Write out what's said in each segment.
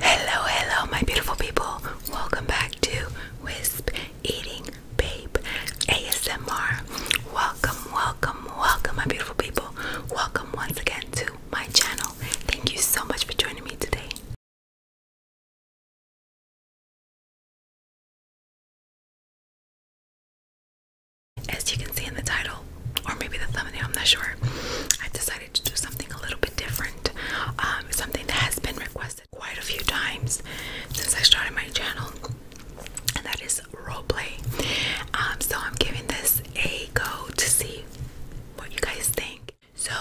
Hello, hello, my beautiful people. Welcome back to Wisp Eating Babe ASMR. Welcome, welcome, welcome, my beautiful people. Welcome once again to my channel. Thank you so much for joining me today. As you can see in the title, or maybe the thumbnail, I'm not sure. I decided to do something a little bit different. Um, something that has been requested quite a few times since I started my channel, and that is roleplay. Um, so I'm giving this a go to see what you guys think. So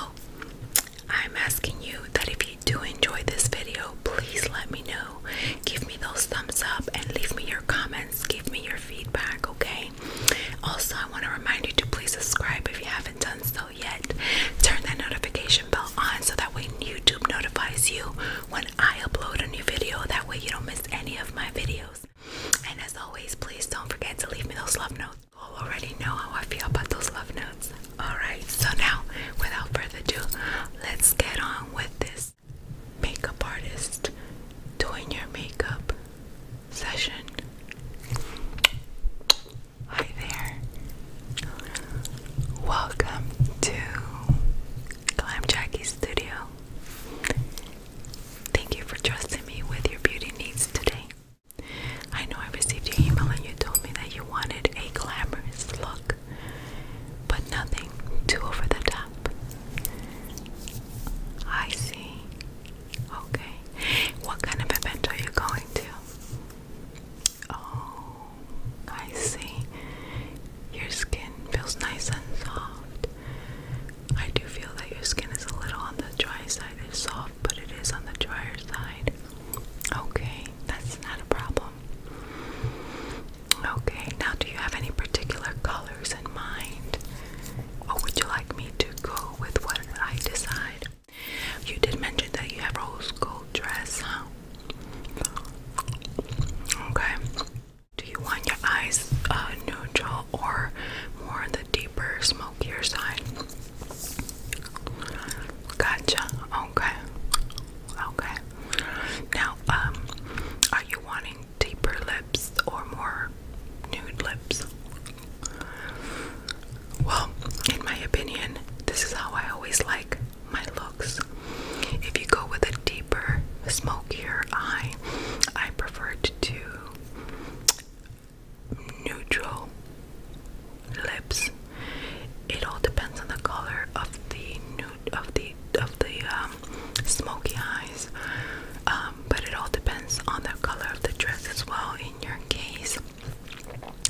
I'm asking you that if you do enjoy this video, please let me know. Give me those thumbs up and leave me your comments. Give me your feedback, okay? Also, I want to remind you to please subscribe if you haven't done so yet, turn that notification bell on so that when YouTube notifies you when I upload a new video, that way you don't miss any of my videos. And as always, please don't forget to leave me those love notes. You'll already know how I feel about those love notes. Alright, so now without further ado, let's get on with this makeup artist doing your makeup session. Hi there. Welcome to Glam Jackie Studio. Thank you for trusting me with your beauty needs today. I know I received your email and you told me that you wanted a glamorous look, but nothing too over the top. I see. Okay. What kind of event are you going to? Oh, I see. Your skin feels nice and soft. I do feel that your skin is a little on the dry side. It's soft, but it is on the drier side. Okay, that's not a problem. Okay, now do you have any particular colors in mind? Or would you like me to go with what I decide? You did mention that you have rose gold dress, huh? Okay. Do you want your eyes uh, neutral or more on the deeper, smokier side? Gotcha. Okay. Okay. Now, um, are you wanting deeper lips or more nude lips? Well, in my opinion, this is how I always like my looks. If you go with a deeper, smokier eye, I prefer to do neutral lips. It all depends on the color of the nude of the of the um, smoky eyes, um, but it all depends on the color of the dress as well. In your case,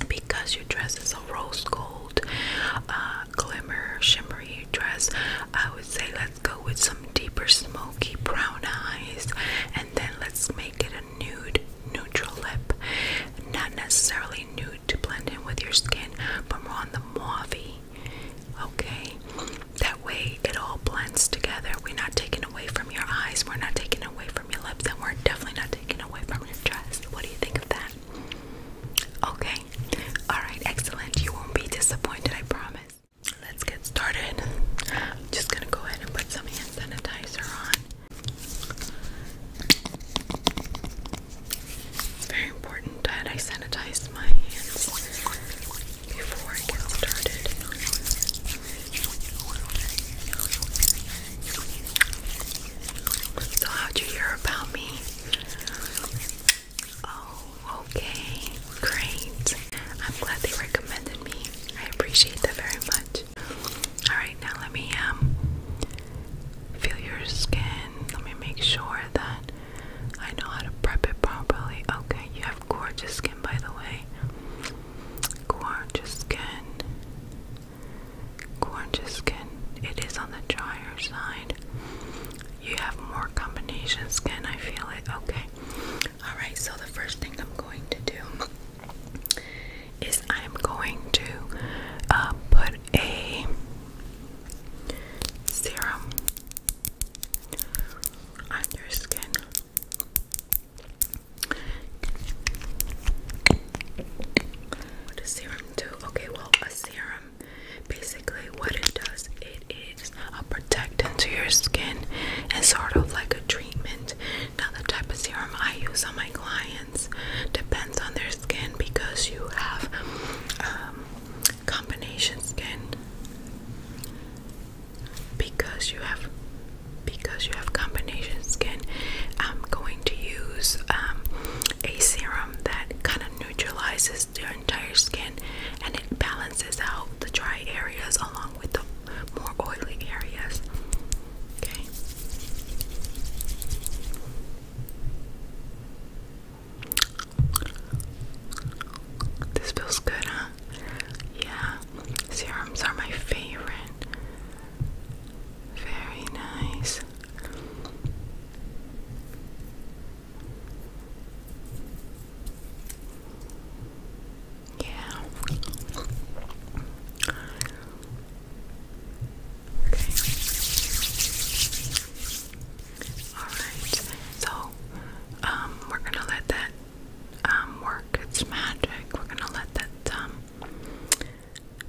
because your dress is a rose gold, uh, glimmer, shimmery dress. I would say let's go with some deeper smoky brown eyes, and then let's make it a nude neutral lip. Not necessarily nude to blend in with your skin, but more on the mauvey. Okay, that way it all blends together. We're not taking away from your eyes. We're not taking away from your lips and we're definitely not taking away from your chest. What do you think of that? Okay. Alright, excellent. You won't be disappointed, I promise. Let's get started. just gonna go ahead and put some hand sanitizer on. very important that I sanitize my hands before I get started. So, how'd you hear about me? Oh, okay, great. I'm glad they recommended me. I appreciate that very much. All right, now let me um feel your skin. Let me make sure that I know how to prep it properly. Okay, you have gorgeous skin, by the way. Gorgeous skin. Gorgeous skin. It is on the drier side. You have more combination skin. I feel it. Okay. Alright, so the first thing I'm going to do is I'm going to uh, put a serum on your skin. What does serum do? Okay, well, a serum basically what it does it is a protectant to your skin and sort of like a treatment. Now the type of serum I use on my clients depends on their skin because you have um, combination skin because you have because you have combination skin, I'm going to use um, a serum that kind of neutralizes your entire skin and it balances out the dry areas along with the more oily areas. Okay. This feels good, huh? Yeah, serums are my favorite. Very nice. Yeah. Okay. All right. So, um, we're gonna let that um work. It's magic. We're gonna let that um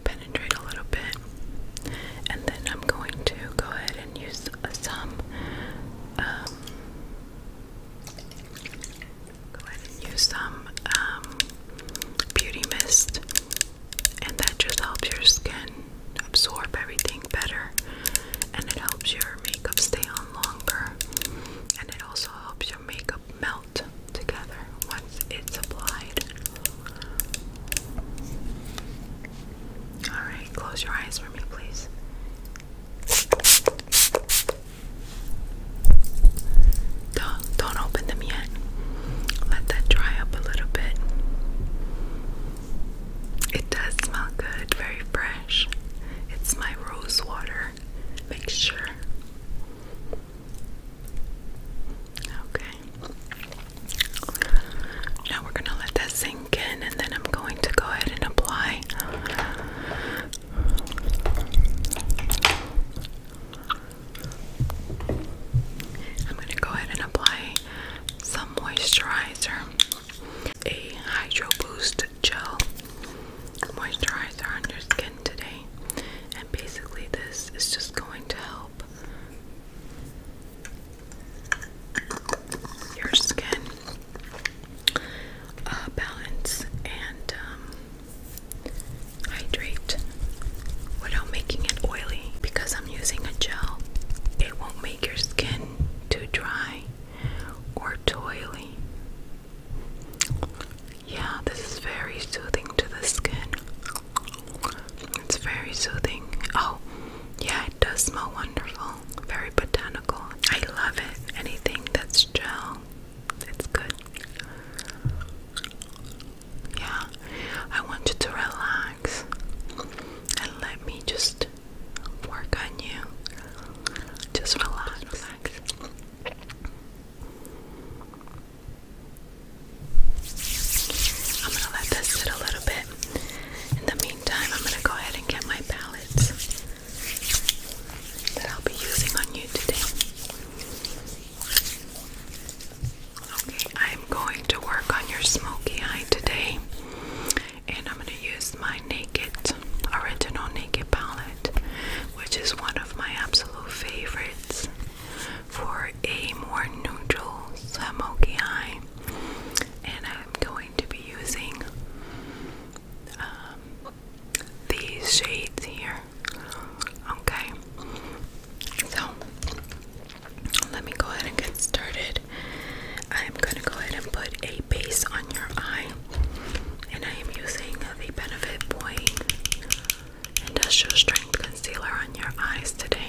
penetrate a little bit, and then I'm going to go ahead and use some. Um, go ahead and use some um, beauty mist, and that just helps your skin absorb everything better, and it helps your makeup stay on longer, and it also helps your makeup melt together once it's applied. Alright, close your eyes for me, please. Don't, don't open them yet. Let that dry up a little bit. It does smell good, very fresh. It's my rose water mixture. Okay. Now we're going to let that sink in, and then I'm going to go ahead and apply. I'm going to go ahead and apply some moisturizer, a Hydro Boost Gel moisturizer on your skin today. And basically, this is just going to help your skin uh, balance and um, hydrate without making it oily. Because I'm using a gel, it won't make your skin too dry or too oily. Yeah, this is very soothing to the skin. It's very soothing. Oh, yeah, it does smell wonderful. Very botanical. I love it. Anything that's gel, it's good. Yeah, I want you to relax and let me just work on you. Just relax. Just relax. I'm gonna let this sit a little bit. In the meantime, I'm gonna go ahead and get my palettes that I'll be using on you today. Okay, I'm going to work on your smoky eye today, and I'm gonna use my Naked original Naked palette which is one of my absolute favorites for a more neutral smokey eye. And I'm going to be using um, these shades here. Okay, so let me go ahead and get started. I'm gonna go ahead and put a base on your eye, and I am using the Benefit Boy industrial strength concealer on your eyes today.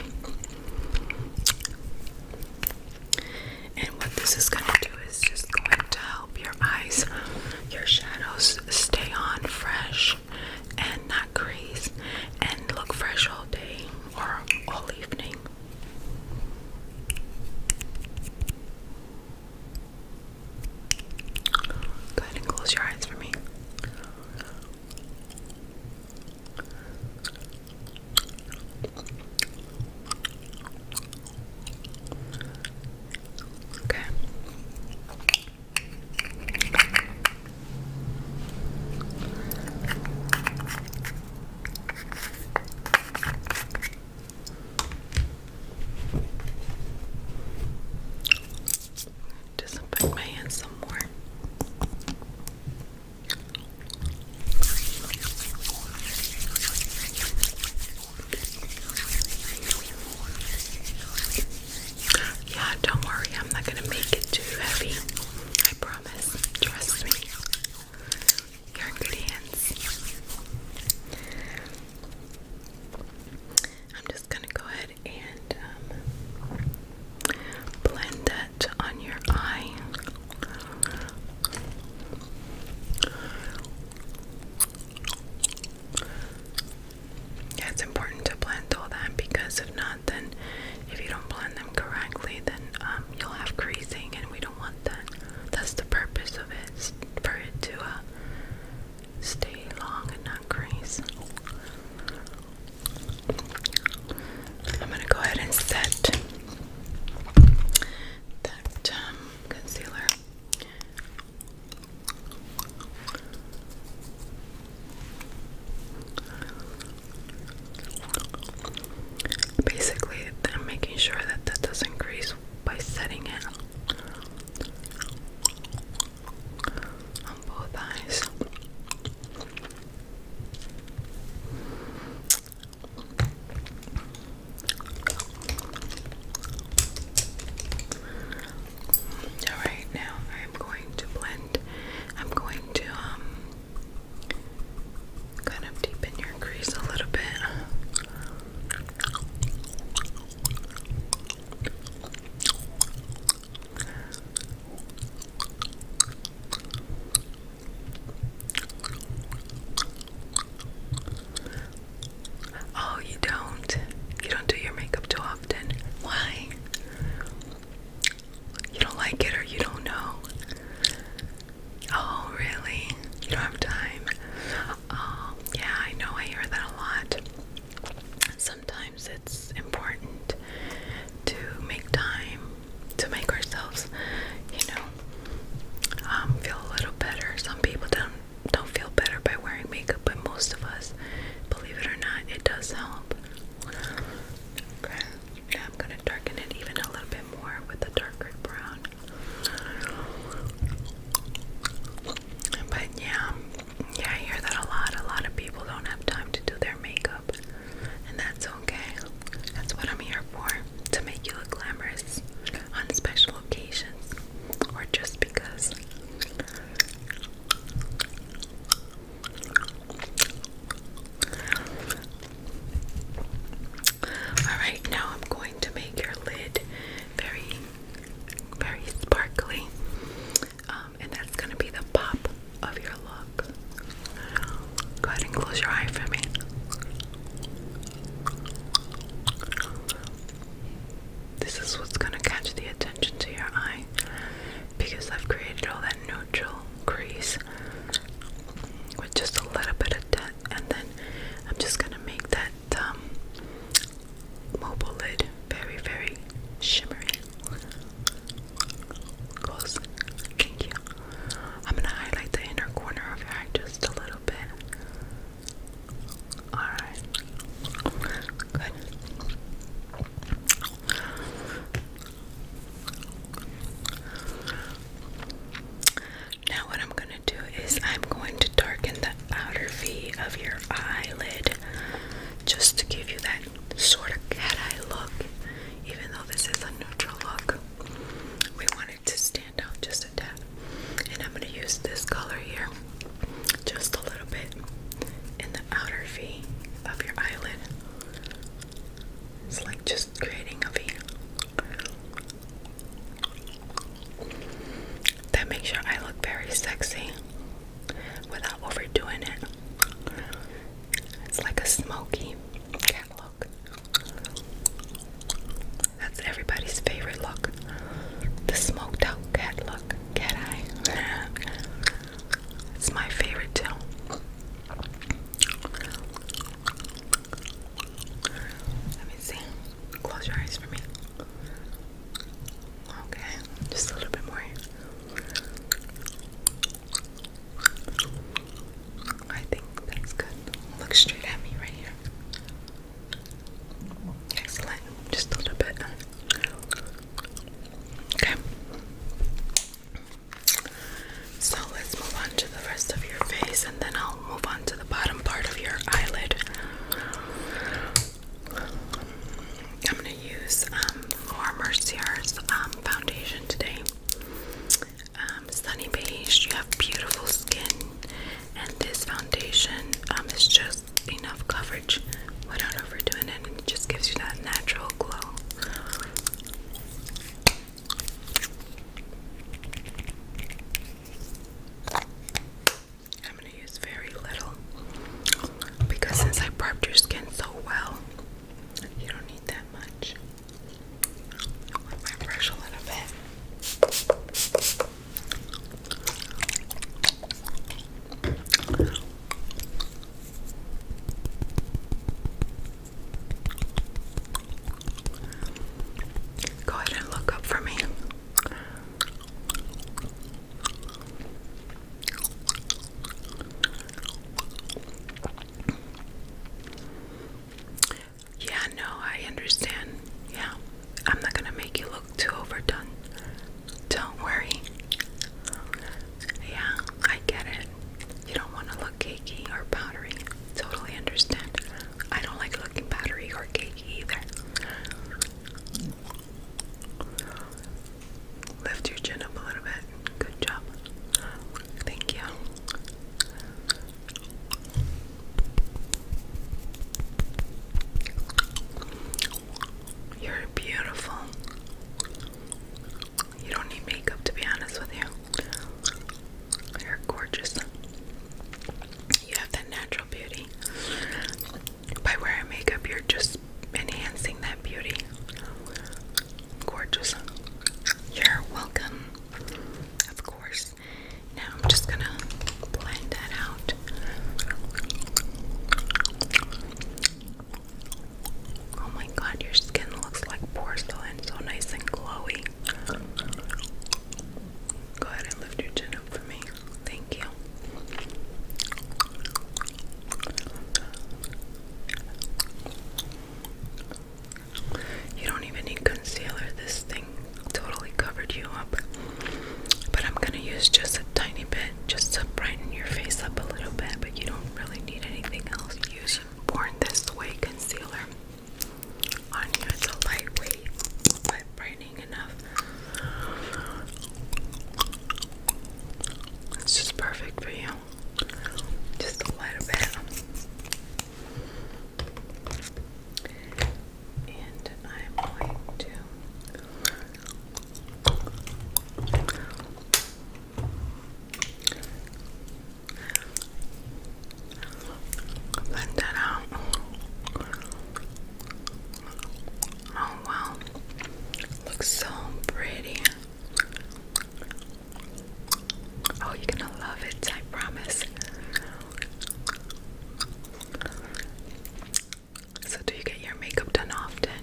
And what this is going to do is just going to help your eyes, your shadows stay on fresh and not crease and look fresh all day or all evening. Go ahead and close your eyes for me. Okay disinfect my hands some Yeah, don't worry, I'm not gonna make it too heavy. I promise. Trust me. You're hands. I'm just gonna go ahead and um, blend that on your eye. it's important to blend all that because if not, then if you don't blend them correctly, then um, you'll have creasing, and we don't want that. That's the purpose of it, for it to uh, stay long and not crease. I'm gonna go ahead and set that um, concealer. Basically, I'm making sure that that doesn't crease by setting it on both eyes. Alright, now I'm going to blend. I'm going to um kind of deepen your crease a little bit. Oh, you don't. You don't do your makeup too often. Why? You don't like it or you don't know. Oh, really? You don't have time. Oh, yeah, I know. I hear that a lot sometimes it's important to make time to make ourselves, you know, um, feel a little better. Some people don't don't feel better by wearing makeup, but most of us, believe it or not, it does help. Okay, I'm gonna darken it even a little bit more with a darker brown. But yeah, yeah, I hear that a lot. A lot of people don't have time to do their makeup, and that's okay. That's what I'm here for to make you look glamorous on special occasions or just because. Alright, now I'm going to make your lid very, very sparkly. Um, and that's gonna be the pop of your look. Go ahead and close your eye for me. This is what's gonna catch the attention to your eye because I've created all that neutral crease with just a little bit of dent, and then I'm just gonna make that um, mobile lid, very, very shimmery. Close. Thank you. I'm gonna highlight the inner corner of your eye just a little bit. Alright. Good. Now, what I'm going to do is, I'm going to darken the outer V of your eyelid just to give you that sort of cat eye look, even though this is a neutral look. We wanted to stand out just a tad. And I'm going to use this color here just a little bit in the outer V of your eyelid. It's like just creating a V. That makes your eye look very sexy without overdoing it. It's like a smoky cat look. That's everybody's favorite look. The smoked out cat look. Can I? it's my favorite too. Let me see. Close your eyes for me. Okay, just a little bit more. I think that's good. Look straight at me right here. Excellent. Just a little bit. Okay. So let's move on to the rest of your face and then I'll move on to the bottom part of your eyelid. I'm gonna use Laura um, Mercier's um, foundation today. Um, sunny Beige, you have beautiful skin, and this foundation is just enough coverage without overdoing it, it just gives you that natural glow. I'm gonna use very little because since I prepped your skin so well, you don't need that much. brush a little bit. Go ahead and look up for me. Yeah, no, I understand. Yeah, I'm not gonna make you look too overdone. Don't worry. Yeah, I get it. You don't want to look cakey or powdery. Totally understand. I don't like looking powdery or cakey either. Lift your chin up a little bit. Good job. Thank you. You're beautiful. You don't need makeup to be honest with you. You're gorgeous. You have that natural beauty by wearing makeup, you're just enhancing that beauty. Gorgeous. You're welcome. Of course. Now I'm just gonna blend that out. Oh my god, your skin looks like porcelain, so nice and glowy. Go ahead and lift your chin up for me. Thank you. You don't even need concealer. This thing totally covered you up. But I'm going to use just a tiny bit just to brighten your face up a little bit, but you don't really need anything else. Use Born This Way concealer on you. It's a lightweight but brightening enough it's just perfect for you. Just a little bit. And I'm going to blend that out. Oh wow. Looks so pretty. Oh, you're gonna love it, I promise. So, do you get your makeup done often?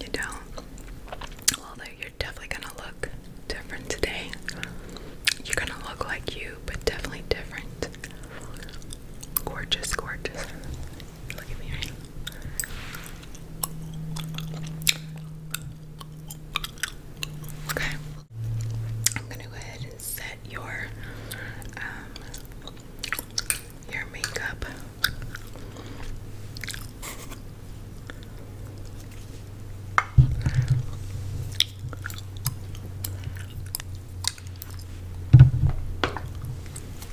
You don't? Well, you're definitely gonna look different today. You're gonna look like you, but definitely different. Gorgeous, gorgeous. Look at me Okay. I'm gonna go ahead and set your um, your makeup.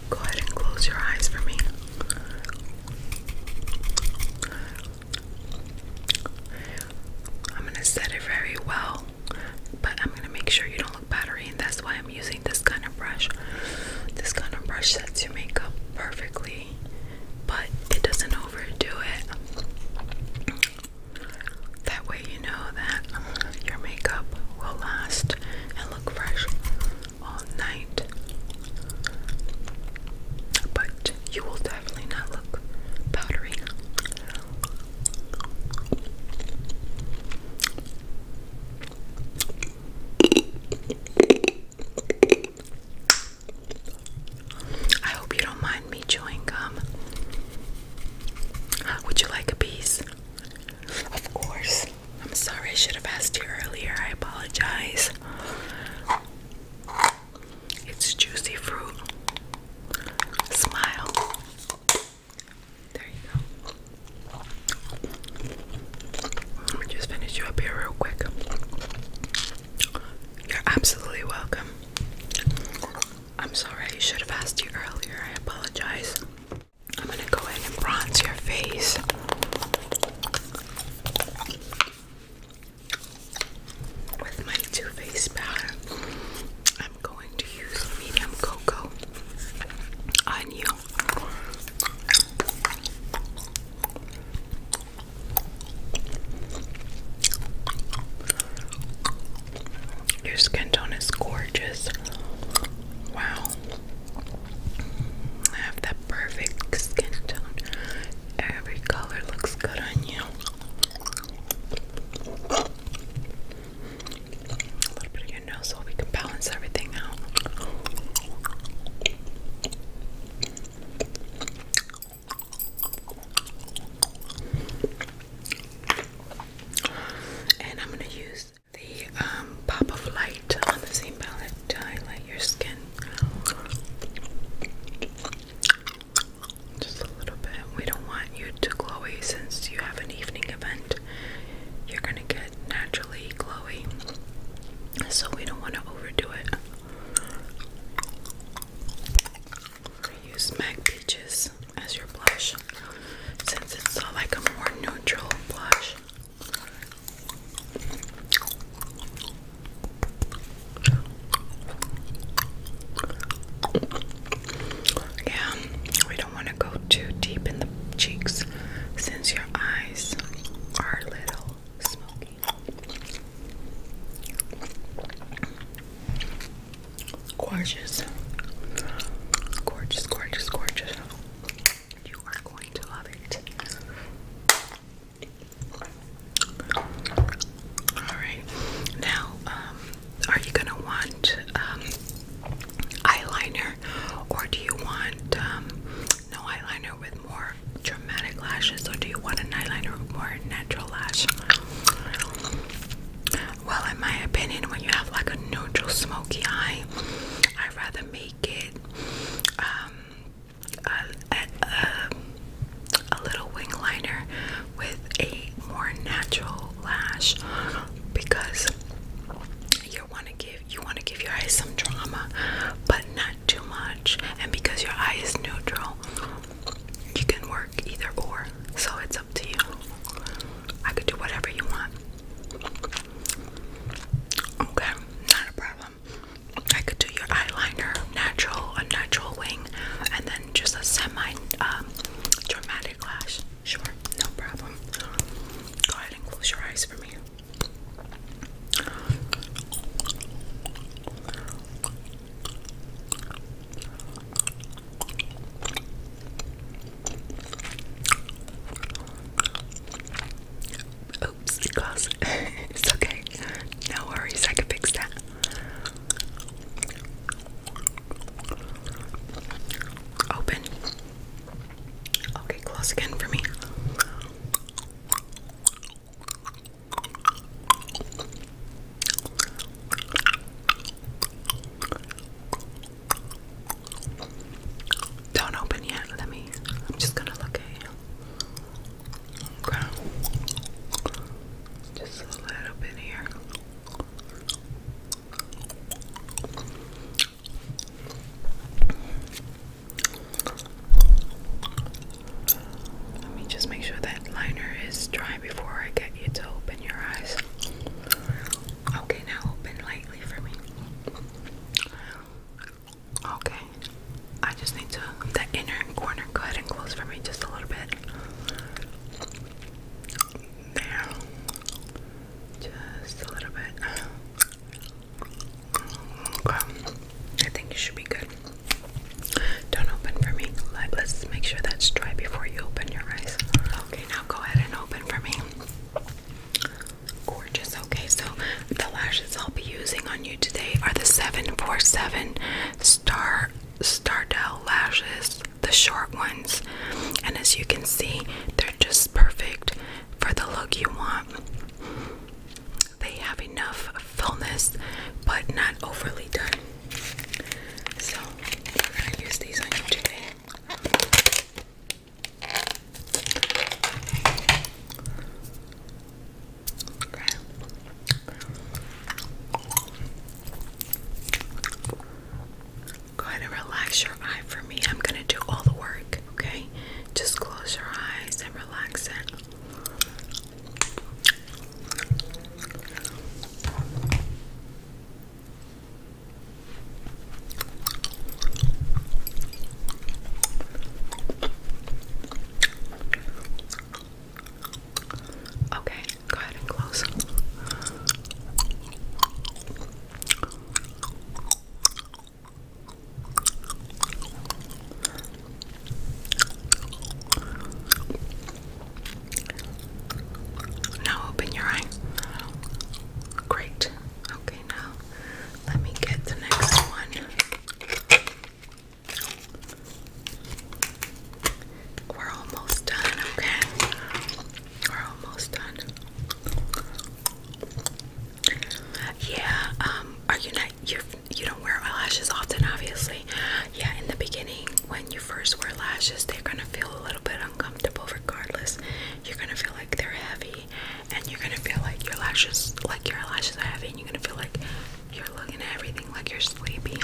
Go ahead and close your eyes for me. I'm gonna set it very well, but I'm gonna make sure you don't look battery, and that's why I'm using this kind of brush. This kind of brush sets your makeup perfectly, but it doesn't overdo it. That way, you know that your makeup will last look fresh all night. But you will definitely not look powdery. I hope you don't mind me chewing gum. Would you like a piece? Of course. I'm sorry, I should have asked you earlier. I apologize. It's juicy fruit. Smile. There you go. Let me just finish you up here real quick. You're absolutely welcome. I'm sorry, I should have asked you earlier. I apologize. I'm gonna go in and bronze your face. With my Too Faced powder, I'm going to use medium cocoa on you. Your skin tone is gorgeous. Wow. I have that perfect skin tone. Every color looks good on you. A little bit of your nose so we can balance everything out. And I'm going to use the um, pop of light on the same palette to highlight your skin. Just a little bit. We don't want you to glowy since you have an evening event. You're gonna get naturally glowy, so we don't want to overdo it. use MAC Peaches as your blush since it's uh, like a more neutral blush. Yeah, we don't want to go too deep in the cheeks since your eyes are little smoky. Gorgeous. Gorgeous, gorgeous, gorgeous. You are going to love it. Alright, now, um, are you gonna want um, eyeliner or do you want um, no eyeliner with more dramatic lashes or do you want an eyeliner with more natural lash? Well, in my opinion, when you have like a neutral smoky eye, I'd rather make it um, a, little wing liner with a more natural lash because you want to give you want to give your eyes some drama, but not too much. And because your eye is neutral, you can work either or. So it's up to you. I could do whatever you want. Okay, not a problem. I could do your eyeliner, natural, a natural wing, and then just a semi um, dramatic lash. Sure, no problem. Go ahead and close your eyes for me. Oops, it glossed. it's okay. No worries, I can fix that. Open. Okay, close again for me. Don't open yet. Let me. I'm just gonna look at you. Just a little bit here. Let me just make sure that liner is dry before I get you to open your eyes. Okay, now open like Okay, I just need to the inner corner. Go ahead and close for me just a little bit. There, just a little bit. I think you should be good. Don't open for me. let's make sure that's dry before you open your eyes. Okay, now go ahead and open for me gorgeous. Okay, so the lashes I'll be using on you today are the 747 Star Stardell lashes, the short ones. And as you can see, they're just perfect for the look you want. They have enough fullness, but not overly done. So, I'm going to use these on you today. Go ahead and relax your eye for me. I'm gonna do all the work, okay? Just close your eyes and relax it. Okay, go ahead and close. Now open your eye. Great. Okay, now let me get the next one. We're almost done, okay? We're almost done. Yeah, um, are you not you you don't wear eyelashes often obviously. Yeah, in the beginning when you first wear lashes, they're gonna feel a little bit uncomfortable regardless. You're gonna feel like they're heavy and you're gonna feel like your lashes, like your eyelashes are heavy, and you're gonna feel like you're looking at everything like you're sleepy.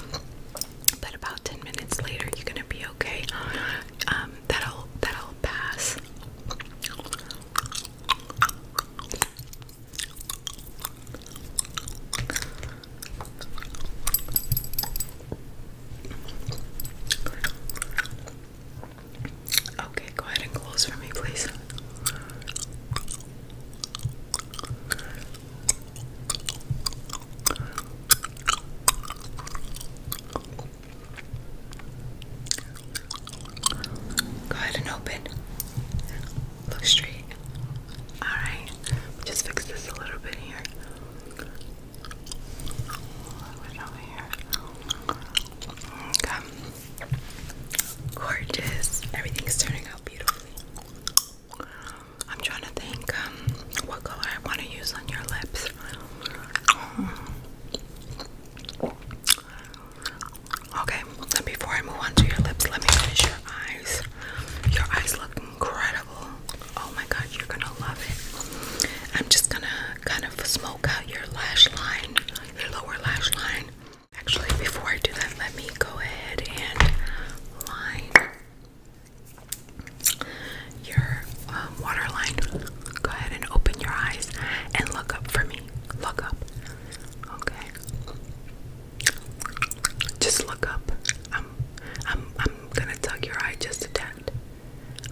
But about 10 minutes later, you're gonna be okay. Um, that'll that'll pass. Okay, go ahead and close for me, please. Go ahead and open. Look straight. Alright, just fix this a little bit here. A little bit over here. Okay. Gorgeous. Everything's turning out beautifully. I'm trying to think um, what color I want to use on your lips. Um, okay, and before I move on to your lips, let me finish your eyes. Your eyes look incredible. Oh my god, you're gonna love it. I'm just gonna kind of smoke smoke out your lash line, your lower lash line. Actually, before I do that, let me go ahead and line your um, waterline. Go ahead and open your eyes and look up for me. Look up. Okay. Just look up. I'm I'm I'm gonna tug your eye just a tad.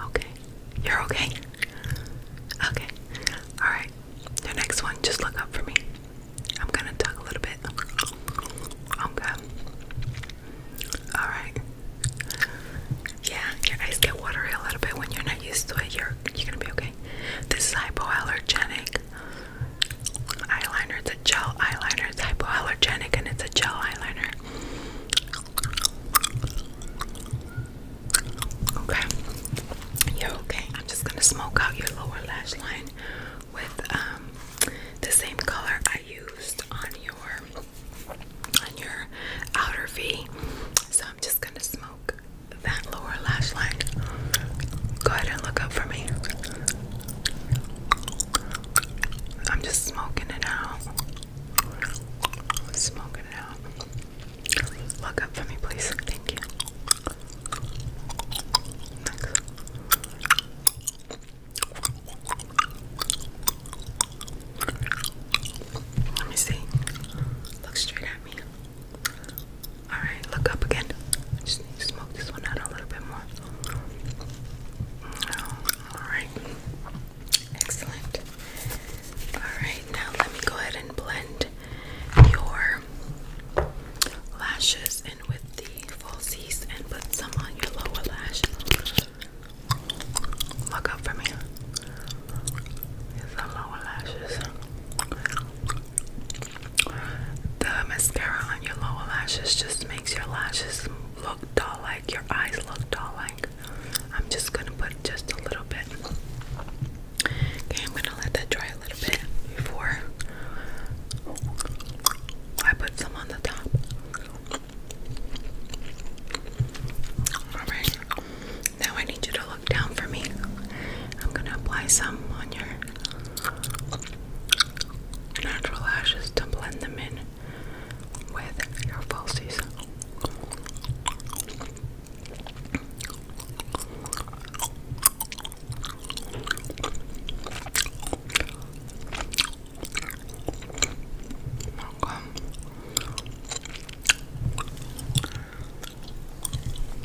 Okay. You're okay? Okay. Alright. The next one, just look up for me. I'm gonna talk a little bit. Okay. Alright. Yeah, your eyes get watery a little bit when you're not used to it. You're you're gonna be okay. This is hypoallergenic eyeliner. It's a gel eyeliner. It's hypoallergenic and it's a gel eyeliner. Okay. You're okay. I'm just gonna smoke out your lower lash line with um, the same color I used on your on your outer V. So I'm just gonna smoke that lower lash line. Go ahead and look up for me. I'm just smoking it out. Smoking it out. Look up for me, please. Thank you. Thanks. Let me see. Look straight at me. Alright, look up again. Just smoke this one out a little bit more. Alright. Excellent. Alright, now let me go ahead and blend your lashes in with the falsies and put some on your lower lash. Look up for me. the lower lashes. The mascara on your lower lashes just makes your lashes look doll like, your eyes look doll like. I'm just gonna put just a little bit. Okay, I'm gonna let that dry a little bit before I put some on the top. Alright, now I need you to look down for me. I'm gonna apply some on your natural lashes to blend them in with your falsies.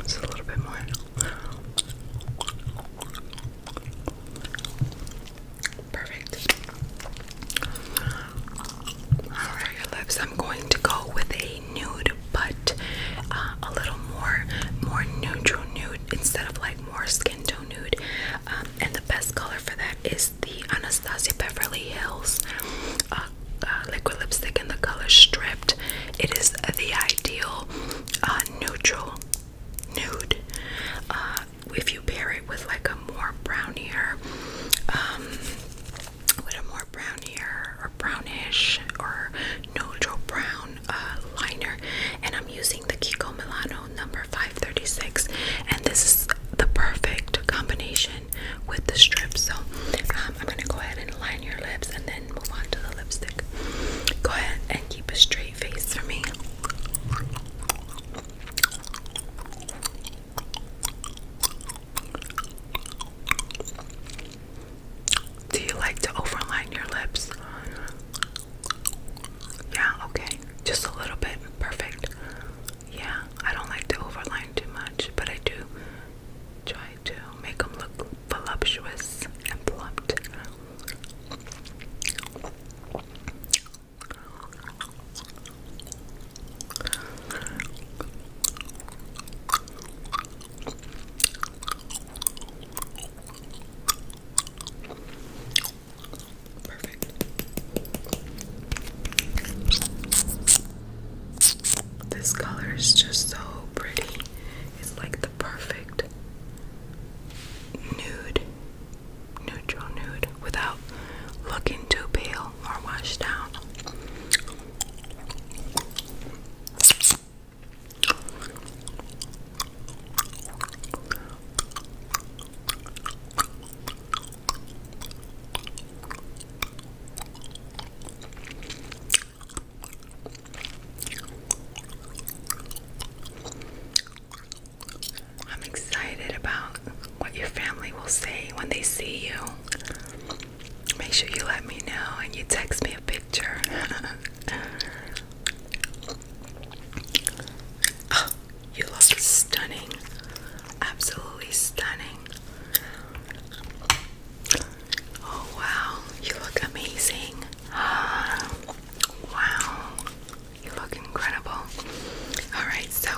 Just a little bit more. Perfect. Alright, lips. I'm going to go with a nude, but uh, a little more more neutral nude instead of like more skin tone nude. Um, and the best color for that is the Anastasia Beverly Hills uh, uh, liquid lipstick in the color Stripped. It is the ideal neutral nude. if you pair it with like a more brownier um, with a more brown here or brownish or neutral brown uh, liner and I'm using the Kiko Milano number 536 and this is the perfect combination with the strip so um, I'm gonna go ahead and line your lips and then move on to the lipstick go ahead and keep a straight face for me do you like to overline your lips? Yeah, okay. Just a little bit. Perfect. Yeah, I don't like to overline too much, but I do try to make them look voluptuous and plumped. Perfect. This color is just so pretty. It's like the perfect nude, neutral nude without looking too pale or washed down. I'm excited about what your family will say when they see you make sure you let me know and you text me a picture. Oh, you look stunning. Absolutely stunning. Oh wow, you look amazing. wow, you look incredible. Alright, so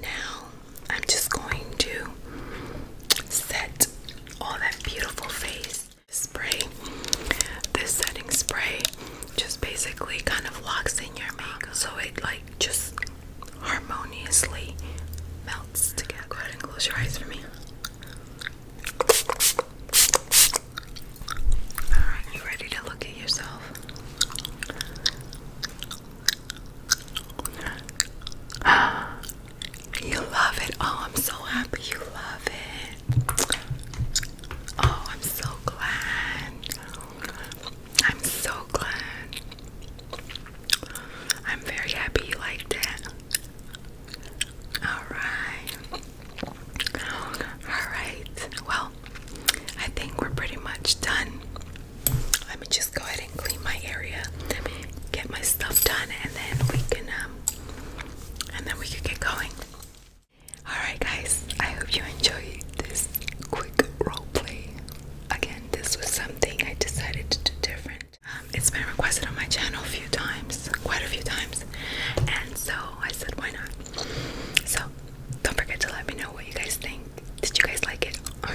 now I'm just going to set all that beautiful face spray. This setting spray just basically kind of locks in your makeup so it like just harmoniously melts together. and close your eyes for me. Alright, you ready to look at yourself? You love it. Oh, I'm so happy you love it. Oh, I'm so glad. I'm so glad. I'm very happy you liked it. Alright. Alright. Well, I think we're pretty much done let me just go ahead and clean my area, get my stuff done, and then we can um, and then we can get going. All right, guys. I hope you enjoyed this quick role play. Again, this was something I decided to do different. Um, it's been requested on my channel a few times, quite a few times, and so I said, why not? So don't forget to let me know what you guys think. Did you guys like it? Oh,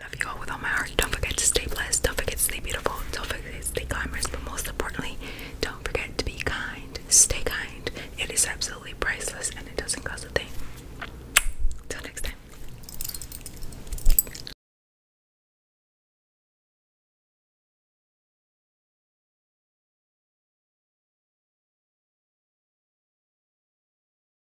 Love you all with all my heart. Don't forget to stay blessed. Don't forget to stay beautiful. Don't forget to stay glamorous. But most importantly, don't forget to be kind. Stay kind. It is absolutely priceless and it doesn't cost a thing. Till next time.